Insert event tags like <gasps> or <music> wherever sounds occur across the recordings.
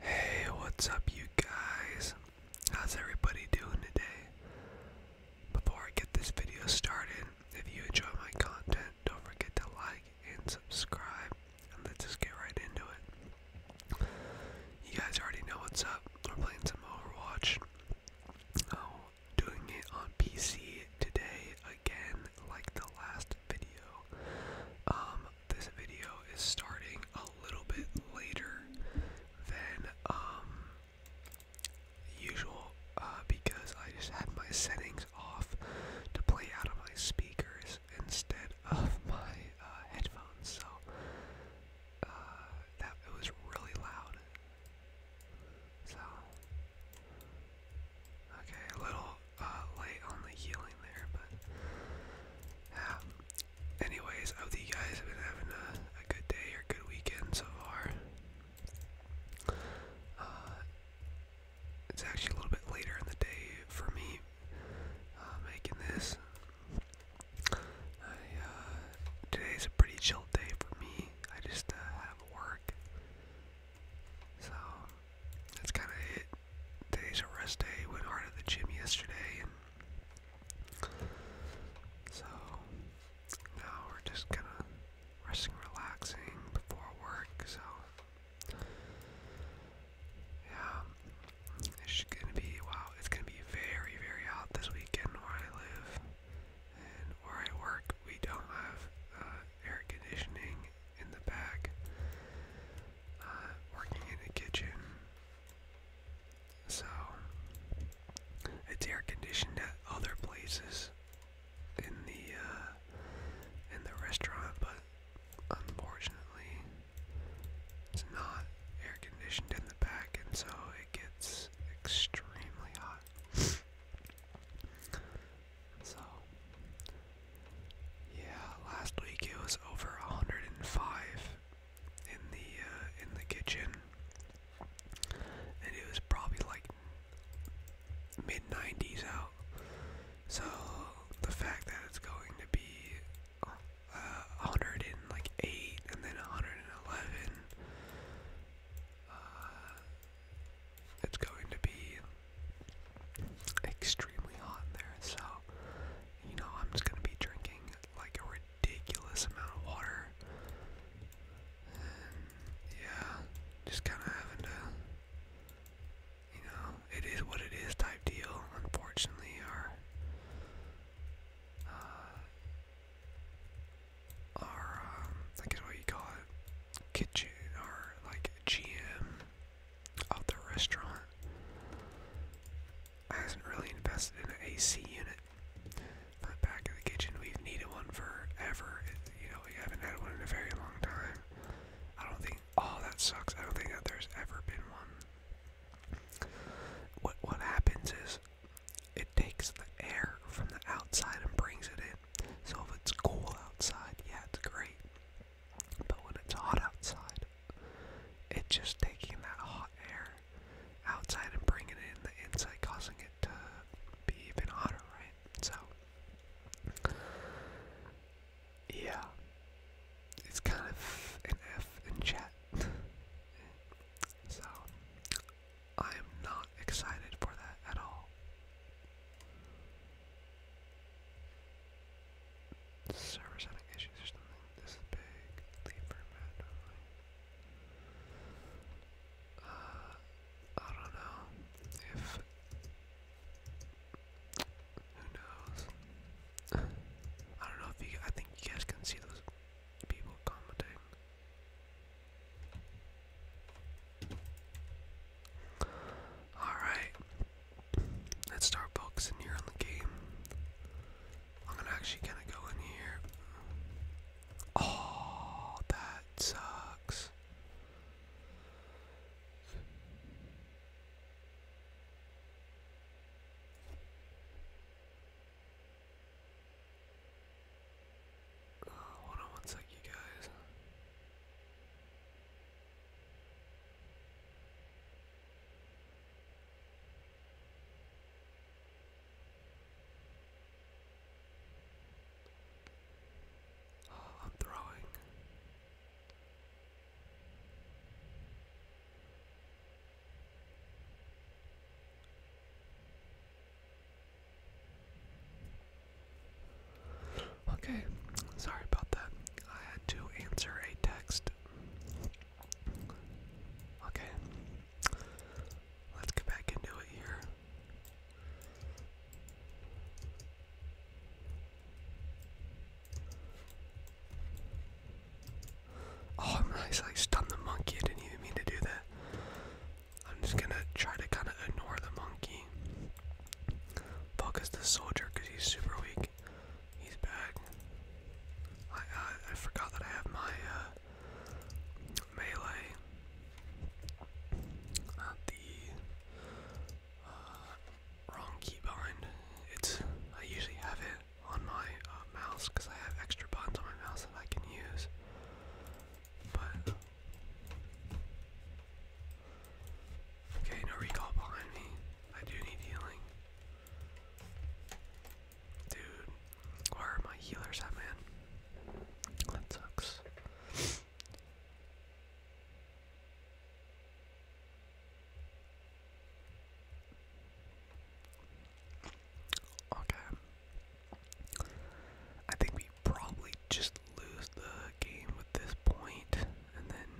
Hey, what's up, you guys? How's everybody doing today? Before I get this video started, if you enjoy my content, don't forget to like and subscribe, and let's just get right into it. You guys already know what's up. We're playing some Overwatch. Oh, doing it on PC today again, like the last video. Um, this video is starting a little bit later than um, usual uh, because I just had my settings off to play out of my speakers instead of <laughs> my uh, headphones, so uh, that it was really loud. So Okay, a little uh, late on the healing there, but yeah. Anyways, I hope you guys have been having a, good day or good weekend so far. Uh, it's actually a little bit later in the day for me uh, making this. I, uh, today's a pretty chill day for me. I just uh, have work so that's kind of it. Today's a rest day. Went hard at the gym yesterday, so now we're just kind of resting, relaxing before work. So yeah, it's gonna be wow. It's gonna be very, very hot this weekend where I live and where I work we don't have uh, air conditioning in the back. Uh, working in the kitchen, so it's air conditioned at other places in the uh, in the restaurant, but unfortunately, it's not air conditioned in the back, and so it gets extremely hot. So, yeah, last week it was over 105 in the uh, in the kitchen, and it was probably like mid 90s out. So the fact that it's going to be 108 uh, and then 111. It's going to be extremely hot there, so you know I'm just gonna be drinking like a ridiculous amount of water. yeah, just kind of having to, you know, it is what it is type deal. Unfortunately, our uh, our um, I guess what you call it kitchen or like GM of the restaurant hasn't really invested in an AC unit. But back in the kitchen, we've needed one forever. you know, we haven't had one in a very long time. I don't think. Oh, that sucks. I don't think that there's ever been one. What what happens is it takes the air from the outside and brings it in. So if it's cool outside, yeah, it's great. But when it's hot outside, it's just taking that hot air outside and bringing it in the inside, causing it to be even hotter, right? So, yeah, it's kind of an F in chat. <laughs> so, I am not excited for that at all. Server setting issues or something. This big. Leave permit. Uh, I don't know if. Who knows? I don't know if you. I think you guys can see those people commenting. Alright. Let's start focusing here on the game. I'm gonna go in here. Oh, that sucks. Uh, hold on one sec, you guys. Oh, I'm throwing. Okay, sorry about that. I had to answer a text. Okay, let's get back into it here. Oh, I stunned the monkey. I didn't even mean to do that. I'm just gonna try to kind of ignore the monkey. Focus the soldier because he's super weak. He's back. I, I forgot that I have my uh, melee. Not the uh, wrong keybind. It's I usually have it on my uh, mouse because I have extra buttons on my mouse that I can use. But Okay, no recall behind me. I do need healing. Dude, where are my healers at, man? That sucks. okay. I think we probably just lose the game at this point, and then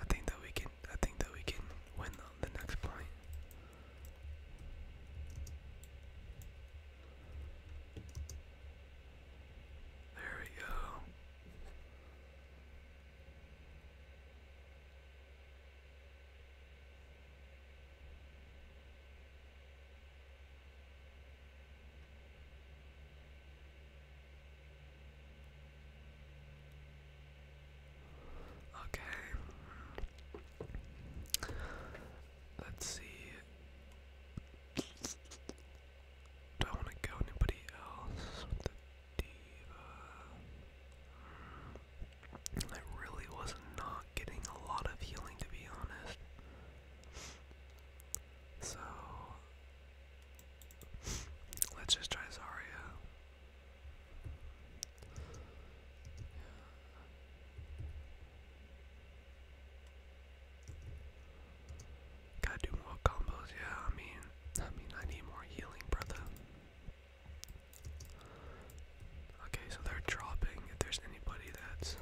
I think that we can. I think that we can win the, the next point. There we go. Okay. Let's see. Do I want to go anybody else I really was not getting a lot of healing to be honest. So let's just try Zarya. Gotta do more combos, yeah. I mean, I mean, I need more healing, brother. Okay, so they're dropping. If there's anybody that's,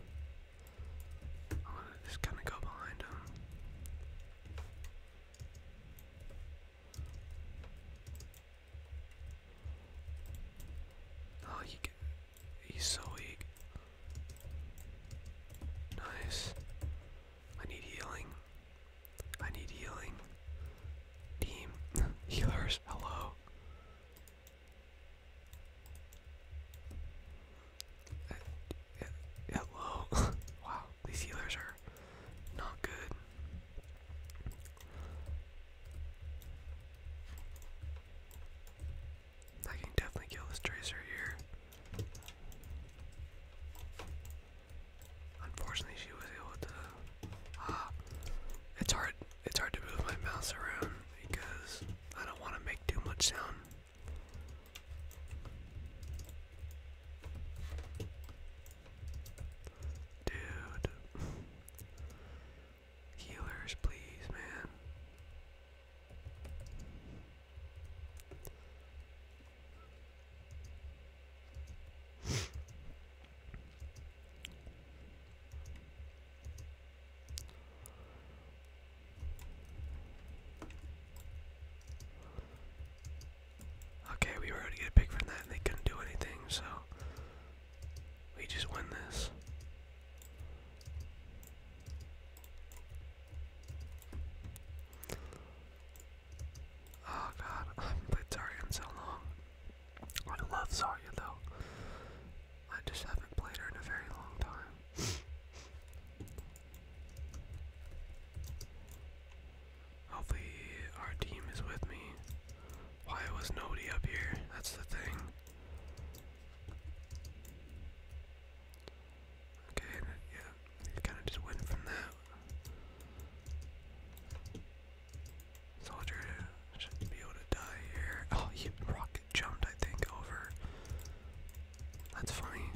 I'm gonna just kind of go behind them. Oh, he he's so weak. Nice. I need healing. I need healing. Team, <laughs> healers, hello. That, <laughs> that, wow, these healers are not good. I can definitely kill this tracer here. Unfortunately, she was able to <gasps> It's hard it's hard to move my mouse around because I don't want to make too much sound. Dude. Healers, please, man. Okay, we were able to get that and they couldn't do anything, so we just win this. Oh god, I have played Tarion so long. I love Zarya though. I just haven't played her in a very long time. Hopefully our team is with me. Why was nobody up here? That's the thing. Okay, yeah, you kind of just went from that. Soldier should be able to die here. Oh, he rocket jumped, I think, over. That's funny.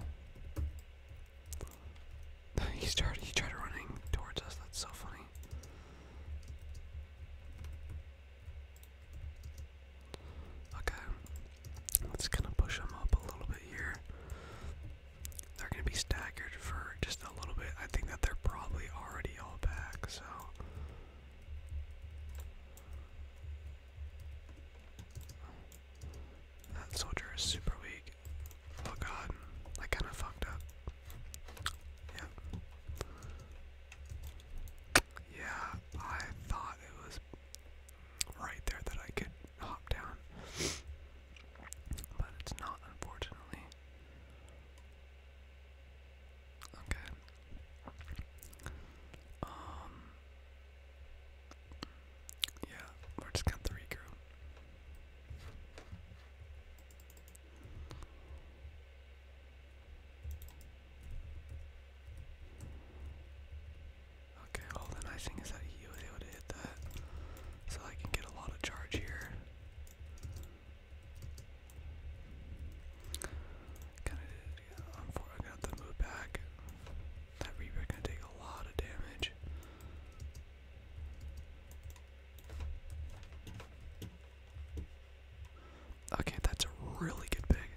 <laughs> he started. He tried running towards us. That's so funny. Okay, let's kind of push him up a little bit here they're going to be staggered for just a little bit. I think that they're probably already all back, so. That soldier is super weak. Oh god, I kind of fucked up. Yep. Yeah, I thought it was right there that I could hop down. But it's not, unfortunately. Okay. Um. Yeah, we're just gonna have Okay, all the nice thing is that he was able to hit that, so I can get a lot of charge here. Kinda did, yeah. I'm, for, I'm going move back. That Reaper gonna take a lot of damage. Okay, that's a really good pick.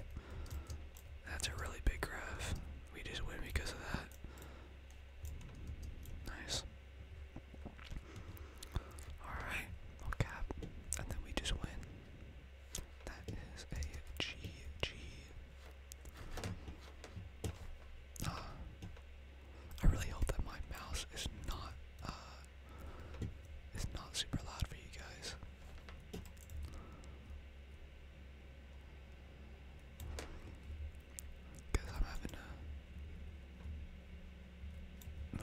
That's a really big graph. We just win because of that. Nice. Alright, no cap. And then we just win. That is a GG. Ah. I really hope that my mouse is not uh is not super loud for you guys because I'm having to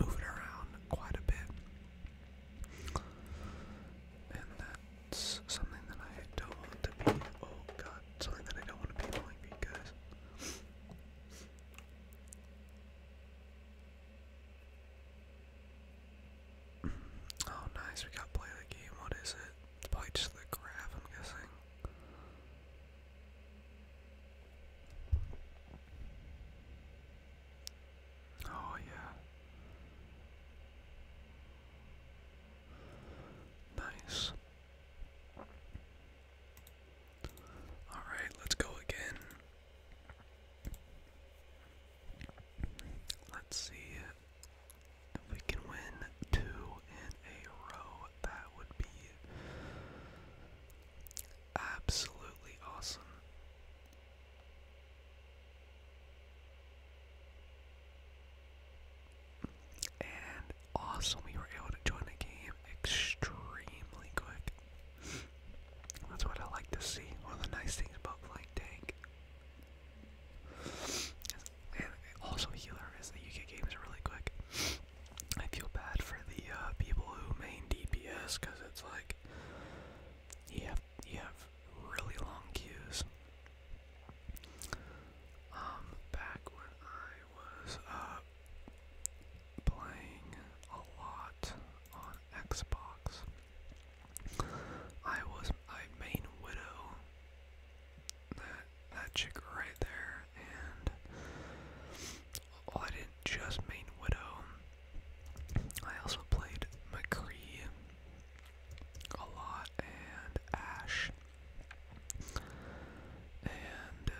move it around quite a bit, and that's something that I don't want to be. Oh God, something that I don't want to be doing because. Oh, nice, we got play the game. What is it? It's the graph, I'm guessing. Oh, yeah. Nice. Alright, let's go again. Let's see. If we can win two in a row, that would be absolutely awesome. And awesome, we were able to join the game extremely quick. That's what I like to see. One of the nice things about playing Tank and also healer is that you get games really quick. I feel bad for the uh, people who main DPS because it's like you have you have really long queues. Um, back when I was uh, playing a lot on Xbox, I was my main Widow that chick right there, and I didn't just main Widow. I also played McCree a lot and Ash, and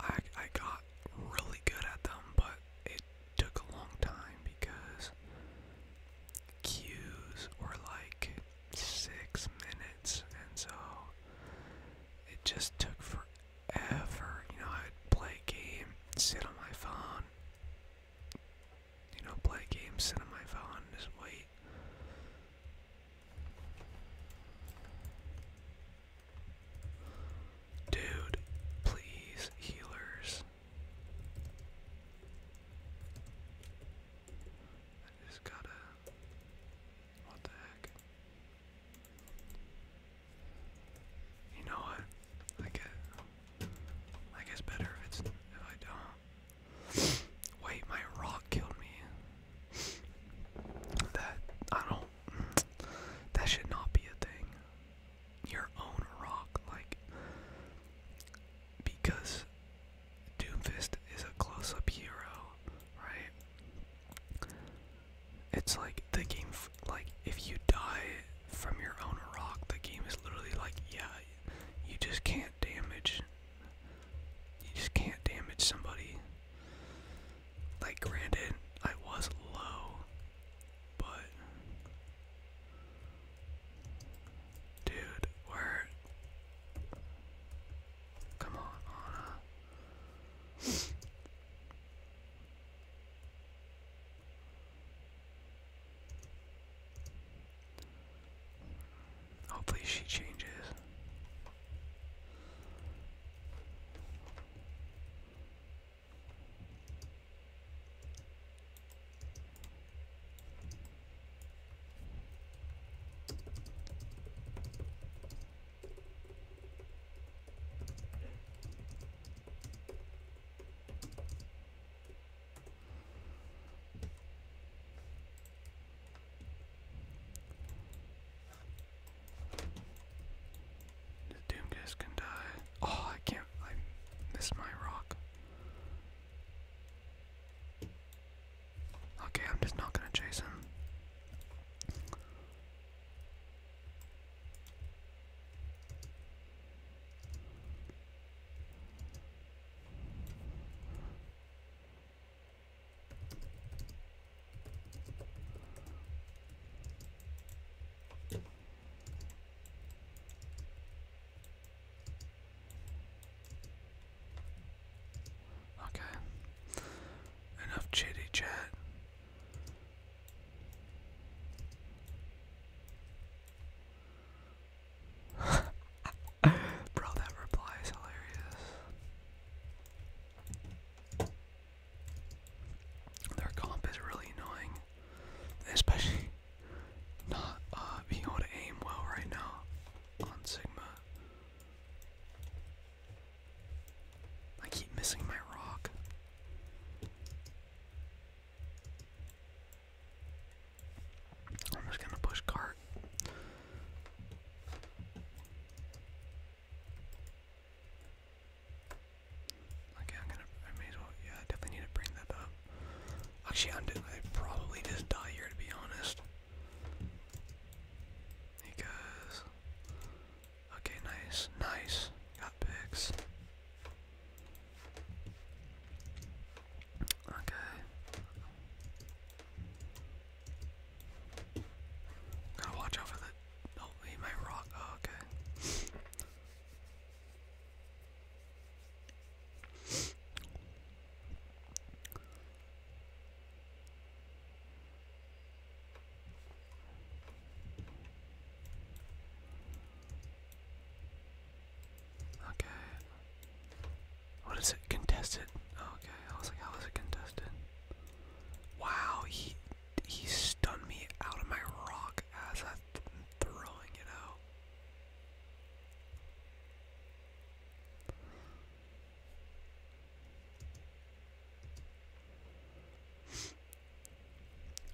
I I got really good at them, but it took a long time because cues were like six minutes, and so it just took forever. You know, I'd play a game, sit on my phone, you know, play a game, sit on my phone, just wait. Dude, please, healers just gotta. What the heck? You know what? I get. I guess better if I don't. Wait, my rock killed me. That I don't. That should not be a thing. Your own rock, like because Doomfist is a close-up hero, right? It's like the game, like if you die from your own rock, the game is literally like, yeah, you just can't damage. You just can't damage somebody. Like, granted, I was low, but Dude, where? Come on, Anna. Hopefully she changes. The Doomguest can die. Oh, I can't. I missed my rock. Okay, I'm just not gonna chase him. Okay. Enough chitty chat. <laughs> Bro, that reply is hilarious. Their comp is really annoying. Especially not uh, being able to aim well right now on Sigma. I keep missing my rock. I'm just gonna push cart. Okay, I'm gonna. I may as well. Yeah, I definitely need to bring that up. Actually, I'm doing. i probably just die here to be honest. Because. Okay, nice, nice. Got picks. Okay. Gotta watch out for the. Oh, he might rock. Oh, okay. Okay. What is it? Contested. Okay, I was like, how is it contested? Wow, he he stunned me out of my rock as I'm throwing it out.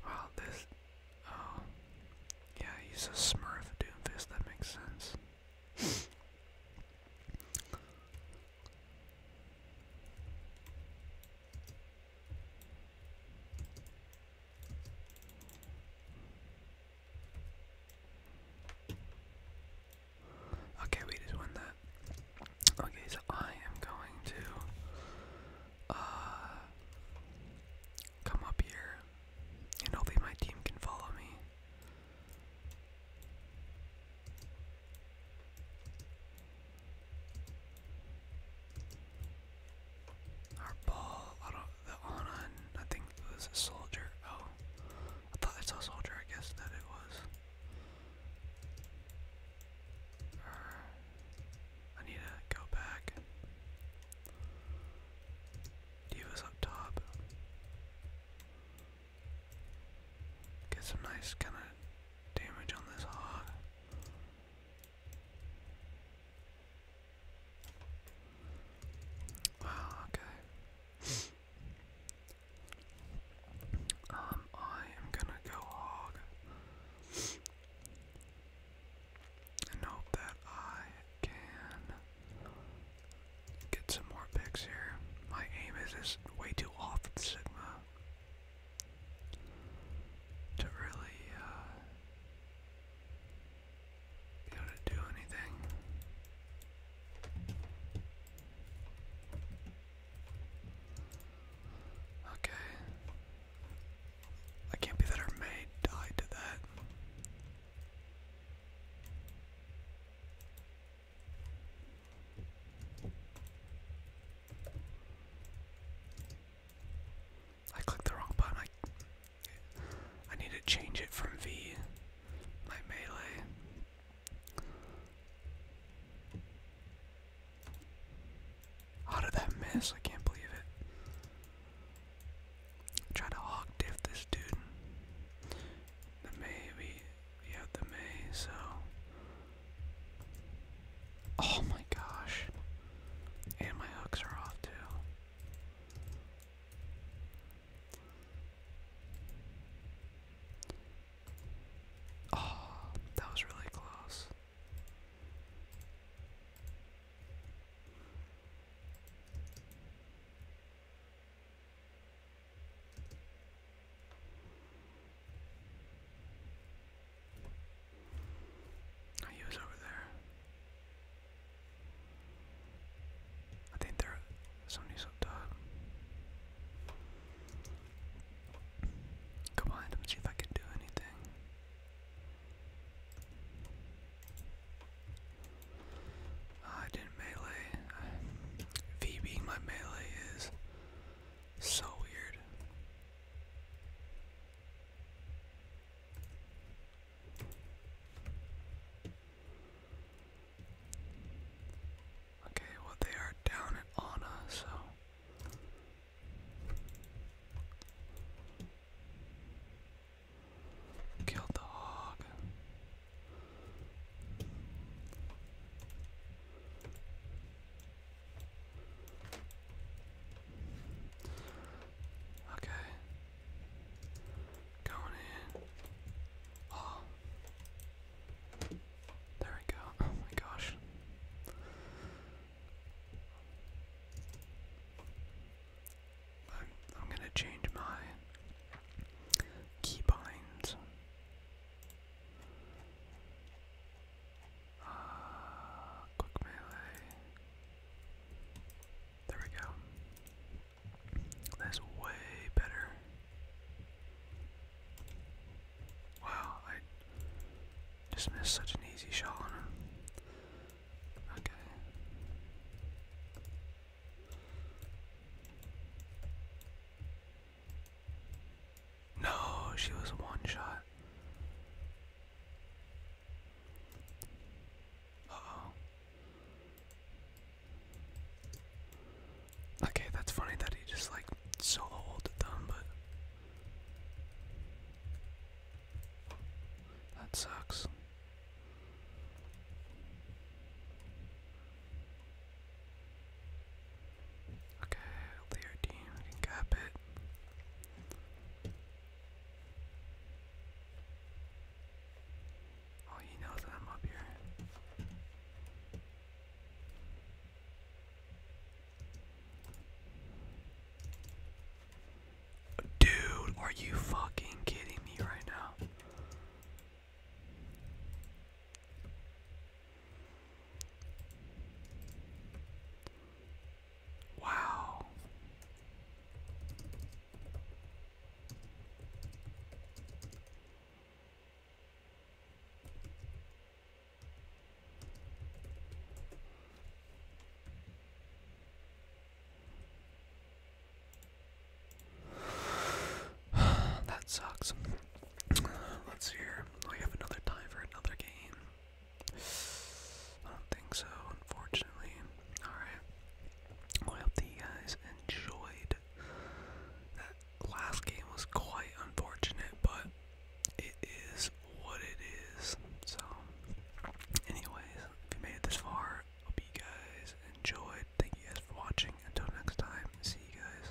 Wow, this. Oh. Yeah, he's a smurf Doomfist, that makes sense. Okay, we just won that. Okay, so I am going to uh come up here and hopefully my team can follow me. Our ball, I don't, the on I think it was a soldier. Oh, I thought I saw a soldier, I guess that it was. I need to go back. Diva's up top. Get some nice kind of damage on this hog. Ah, okay. um, I am gonna go hog and that I can get some more picks here. My aim is just way too off with Sigma to really uh, be able to do anything. Okay. I can't be that our maid died to that. I clicked the wrong button. I I need to change it from V, my melee. How did that miss? I can't believe it. Try to hog diff this dude. The May, we, we the May, so Oh my gosh. And my hooks are off too. Oh, that was really close. Oh, he was over there. I think there somebody's up top. Come on, let me see if I can do anything. Ah, I didn't melee. v being my melee is so weird. Okay, well they are down at Ana, so killed the hog. Okay. Going in. Oh. There we go. Oh my gosh. I'm, gonna change my keybinds. Uh, quick melee. There we go. That's way better. Wow, I just missed such an easy shot Okay. No, she was one shot. oh. Okay, that's funny that he just like soloed them, but that sucks. Okay, Leo team it. Oh, he knows that I'm up here. Dude, are you fucking kidding me right now? Wow. <sighs> that sucks. Let's see We have another tie for another game. I don't think so, unfortunately. Alright. Well, I hope you guys enjoyed. That last game was quite unfortunate, but it is what it is. So, anyways, if you made it this far, hope you guys enjoyed. Thank you guys for watching. Until next time, see you guys.